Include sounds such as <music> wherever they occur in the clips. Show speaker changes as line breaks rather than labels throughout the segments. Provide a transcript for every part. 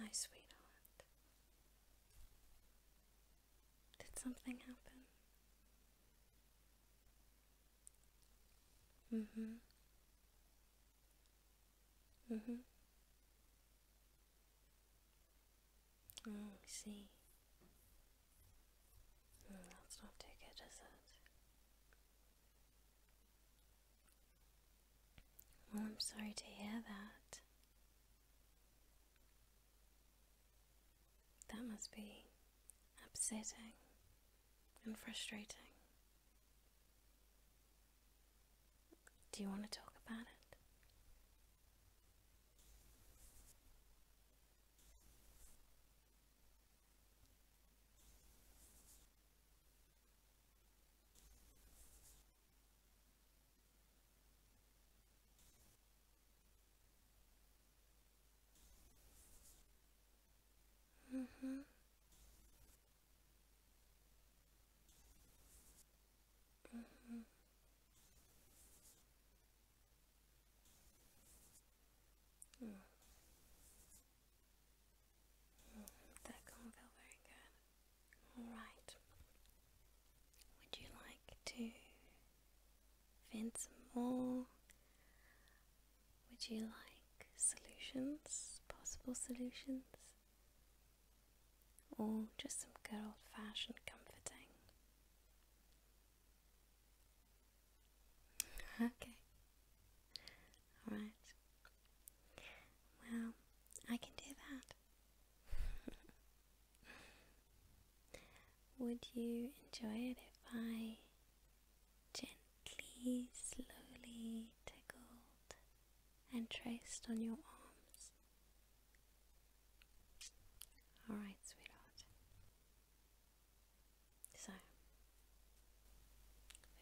My sweetheart, did something happen? Mm hmm. Mm hmm. Oh, I see. that's not too good, is it? Well, oh, I'm sorry to hear that. That must be upsetting and frustrating. Do you want to talk about it? Mm-hmm. Mm-hmm. that can't feel very good. Alright. Would you like to find some more? Would you like solutions? Possible solutions? or just some good old fashioned comforting. <laughs> Okay. Alright. Well, I can do that. <laughs> Would you enjoy it if I gently, slowly tickled and traced on your arms all right, sweetheart. So,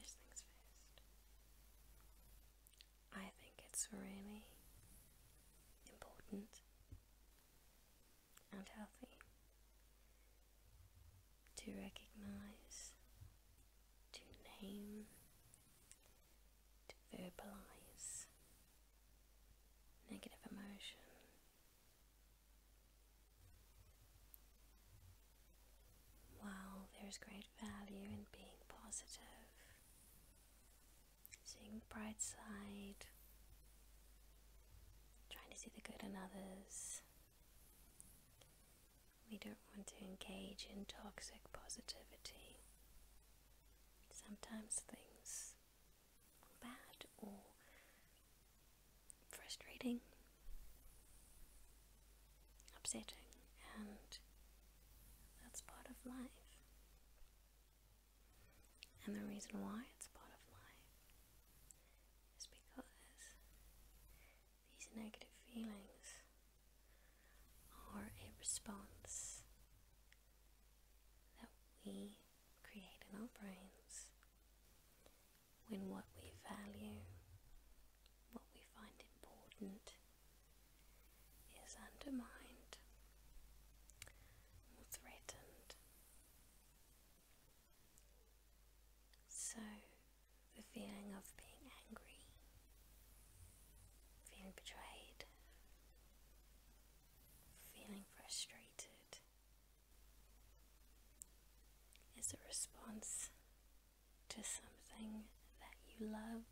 first things first. I think it's really important and healthy to recognize, to name, to verbalize negative emotion. While there is great value in being positive, seeing the bright side, trying to see the good in others, we do want to engage in toxic positivity. Sometimes things are bad or frustrating, upsetting, and that's part of life. And the reason why it's part of life is because these negative feelings are a response that we create in our brains when what we value, what we find important, is undermined or threatened. So, the feeling of being angry feeling betrayed, feeling frustrated is a response to something that you love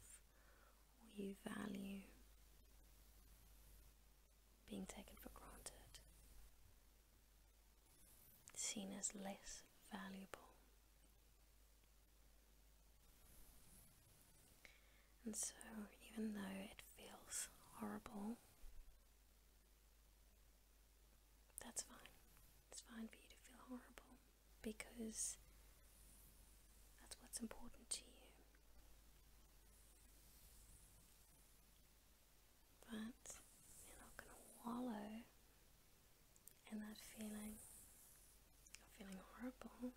or you value being taken for granted, seen as less valuable and so, even though it feels horrible, that's fine. It's fine for you to feel horrible because that's what's important to you. But you're not going to wallow and that feeling of feeling horrible,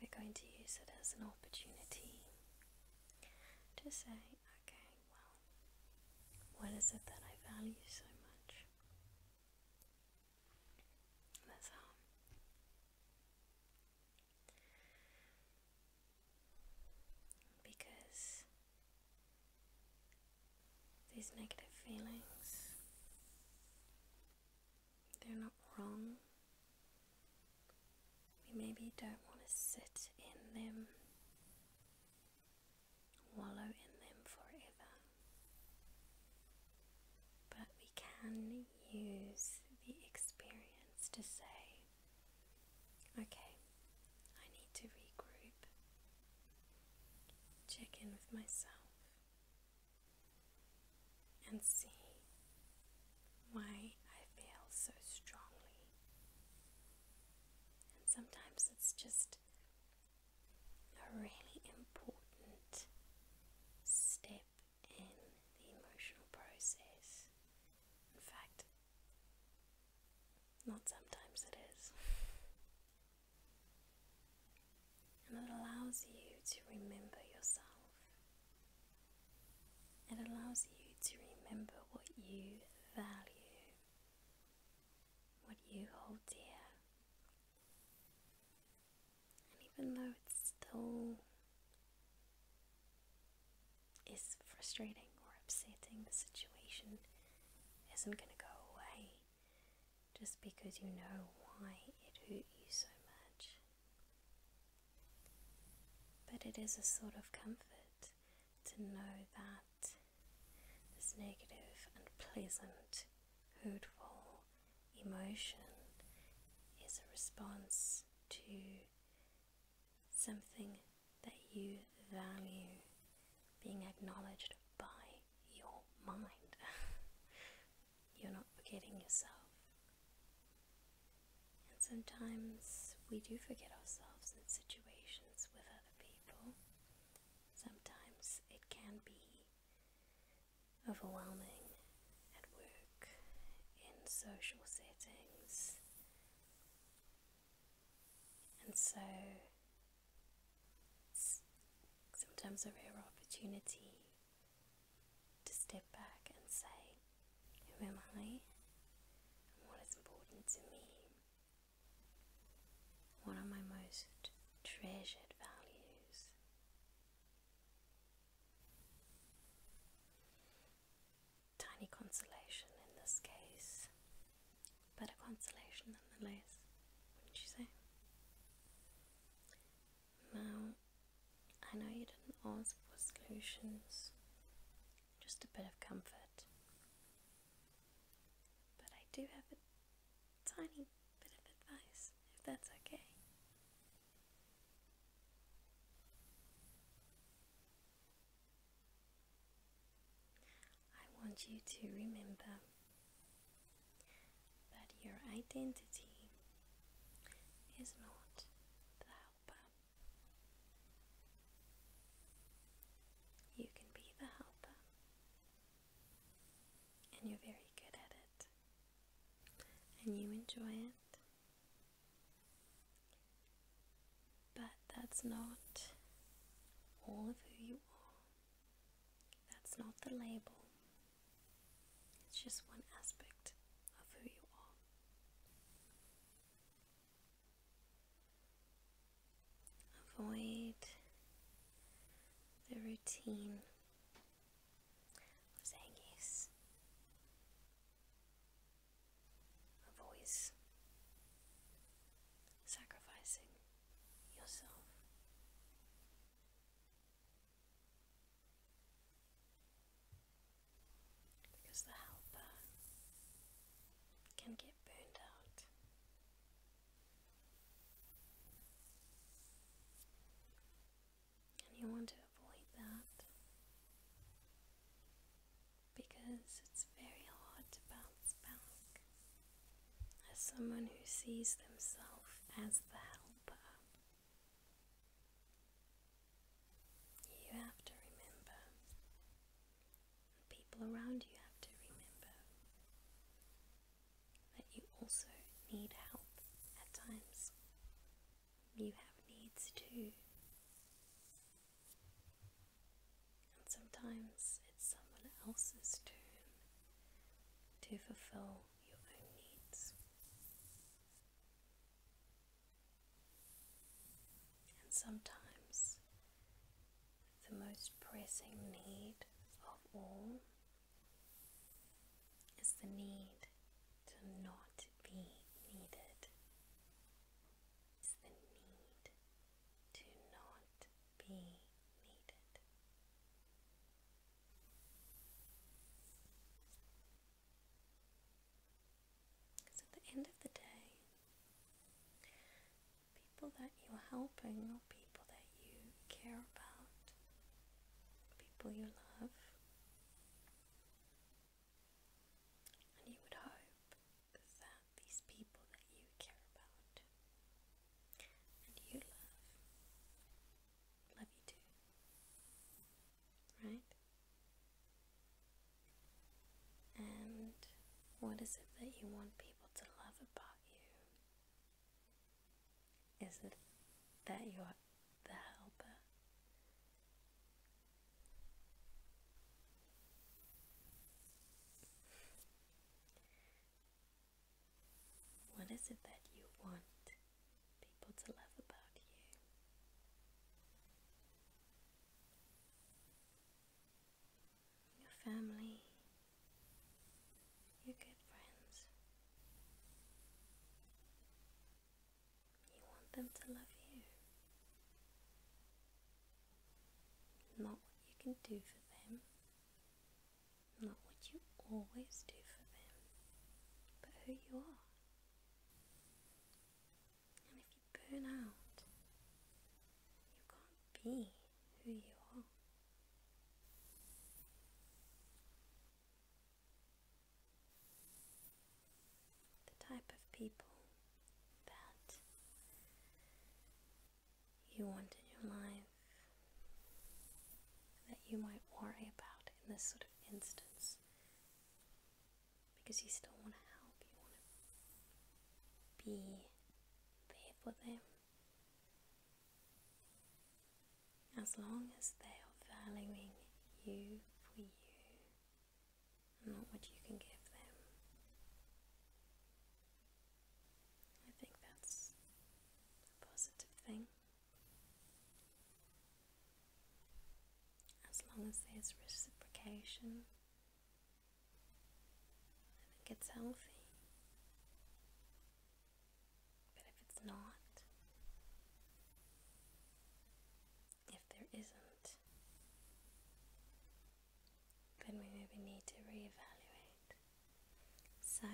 we're going to use it as an opportunity to say, okay, well, what is it that I value so much? That's how. Because these negative feelings, they're not wrong. We maybe don't want to sit in them,
wallow in
them forever. But we can use the experience to say, okay, I need to regroup, check in with myself and see why I feel so strongly. And sometimes it's just a really important step in the emotional process. In fact, not sometimes it is. <laughs> And it allows you to remember yourself. It allows you to remember what you value, what you hold dear. And even though it still is frustrating or upsetting, the situation isn't going to go away just because you know why it hurt you so much. But it is a sort of comfort to know that this and pleasant, hurtful emotion is a response to something that you value being acknowledged by your mind. <laughs>
You're not forgetting yourself.
And sometimes we do forget ourselves in situations with other people. Sometimes it can be overwhelming at work, in social settings. And so sometimes a rare opportunity to step back and say, Who am I? what is important to me? What are my most treasured values? Tiny consolation in this case Better consolation than the least, wouldn't you say? No, I know you didn't ask for solutions, just a bit of comfort. But I do have a tiny bit of advice, if that's okay. I want you to remember but your identity is not the helper. You can be the helper, and you're very good at it, and you enjoy it. But that's not all of who you are. That's not the label, it's just one aspect of who you are. Avoid the routine of saying yes. A sacrificing yourself. Because the helper can get burned out. And you want to avoid that because it's very hard to bounce back as someone who sees themselves as the helper. You have to remember, people around you have to remember, that you also need help at times. You have needs too and sometimes it's someone else's turn to fulfill your own needs. And sometimes the most pressing need of all is the need to not be needed. It's the need to not be needed. Because at the end of the day, people that you're helping or people that you care about, people you love, and you would hope that these people that you care about and you love. Love you too. Right? And what is it that you want people to love about you? Is it that you're the helper? What is it that you want people to love about you? Your family, your good friends. You want them to love you. Not what you can do for them, not what you always do for them, but who you are. And if you burn out, you can't be who you are. The type of people that you want in your life that you might worry about in this sort of instance because you still want to help, you want to be there for them. As long as they are valuing you for you and not what you can give them, I think that's a positive thing. As long as there's reciprocation and it gets healthy. But if it's not, if there isn't, then we maybe need to reevaluate. So,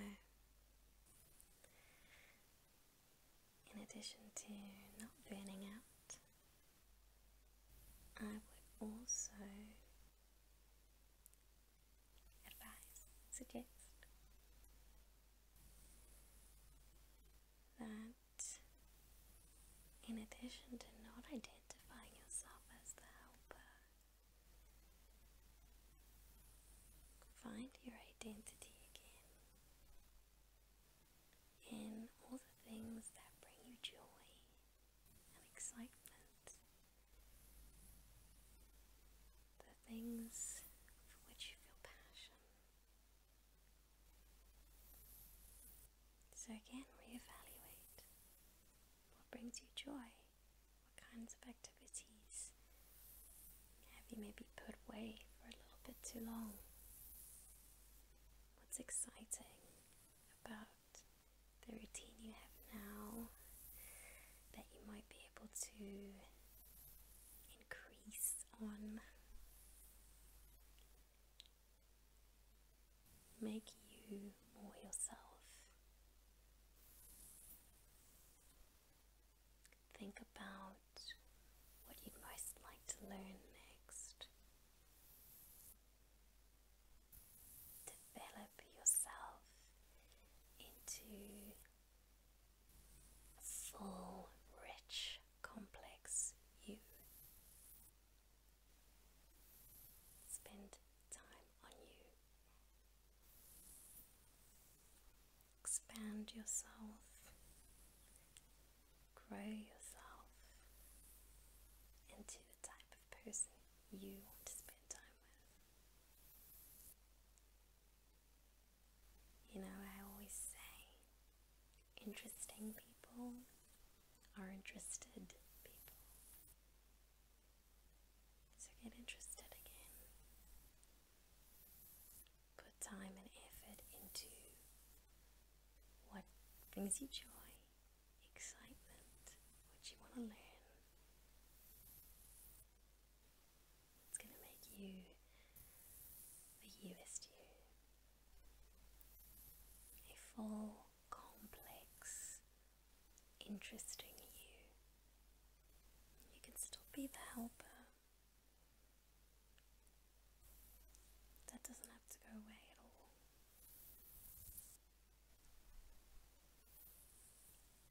in addition to not burning out, I would also advise, suggest that in addition to not identifying yourself as the helper Find your identity again in all the things that bring you joy and excitement, the things for which you feel passion. So, again, reevaluate what brings you joy? What kinds of activities have you maybe put away for a little bit too long? What's exciting about the routine you have now that you might be able to increase on? make you more yourself. Think about what you'd most like to learn next. Develop yourself into a full, rich, complex you. Spend time on you. Expand yourself. Grow yourself into the type of person you want to spend time with. You know, I always say interesting people are interested people. So get interested again. Put time and effort into what brings you joy, excitement, what you want to learn. It's going to make you the newest you. A full, complex, interesting you. You can still be the helper. That doesn't have to go away at all.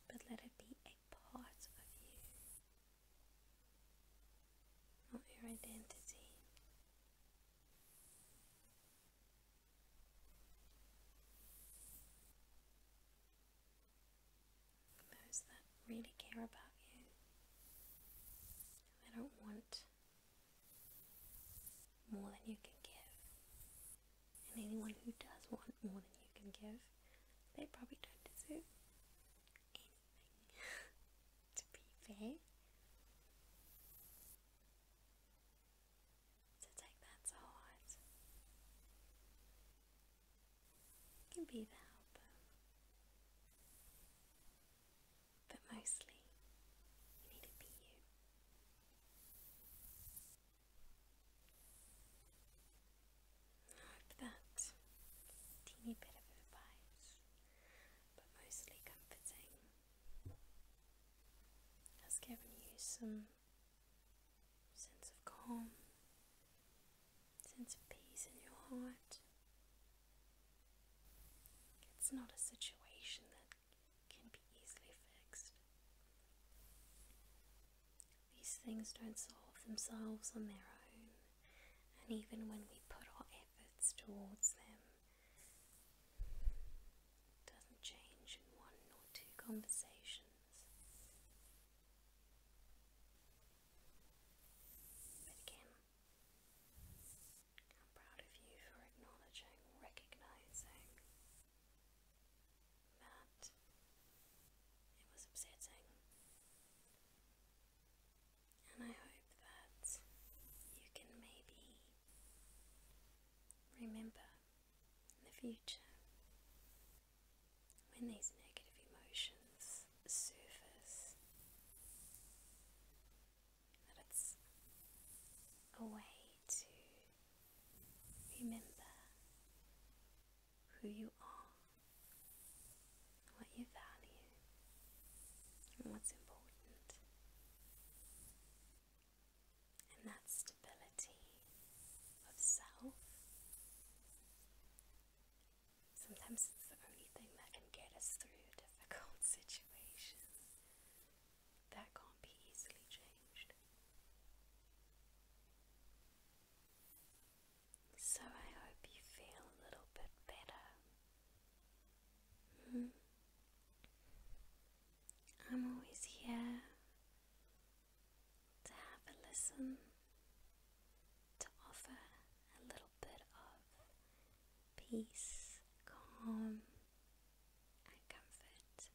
But let it be a part of you, not your identity. Those that really care about you, they don't want more than you can give. And anyone who does want more than you can give, they probably don't deserve anything, <laughs> to be fair to take that to heart. You can be the helper, but mostly you need to be you. I that teeny bit of advice, but mostly comforting has given you some sense of calm, sense of peace in your heart. It's not a situation that can be easily fixed. These things don't solve themselves on their own, and even when we put our efforts towards them, doesn't change in one or two conversations, but again, I'm proud of you for acknowledging, recognizing that it was upsetting. And I hope that you can maybe Remember, in the future, when these negative emotions surface, that it's a way to remember who you are, what you value, and what's important and that stability of self. Sometimes it's the only thing that can get us through difficult <laughs> situation that can't be easily changed. So I hope you feel a little bit better Mm. I'm always here to have a listen, to offer a little bit of peace, calm, and comfort.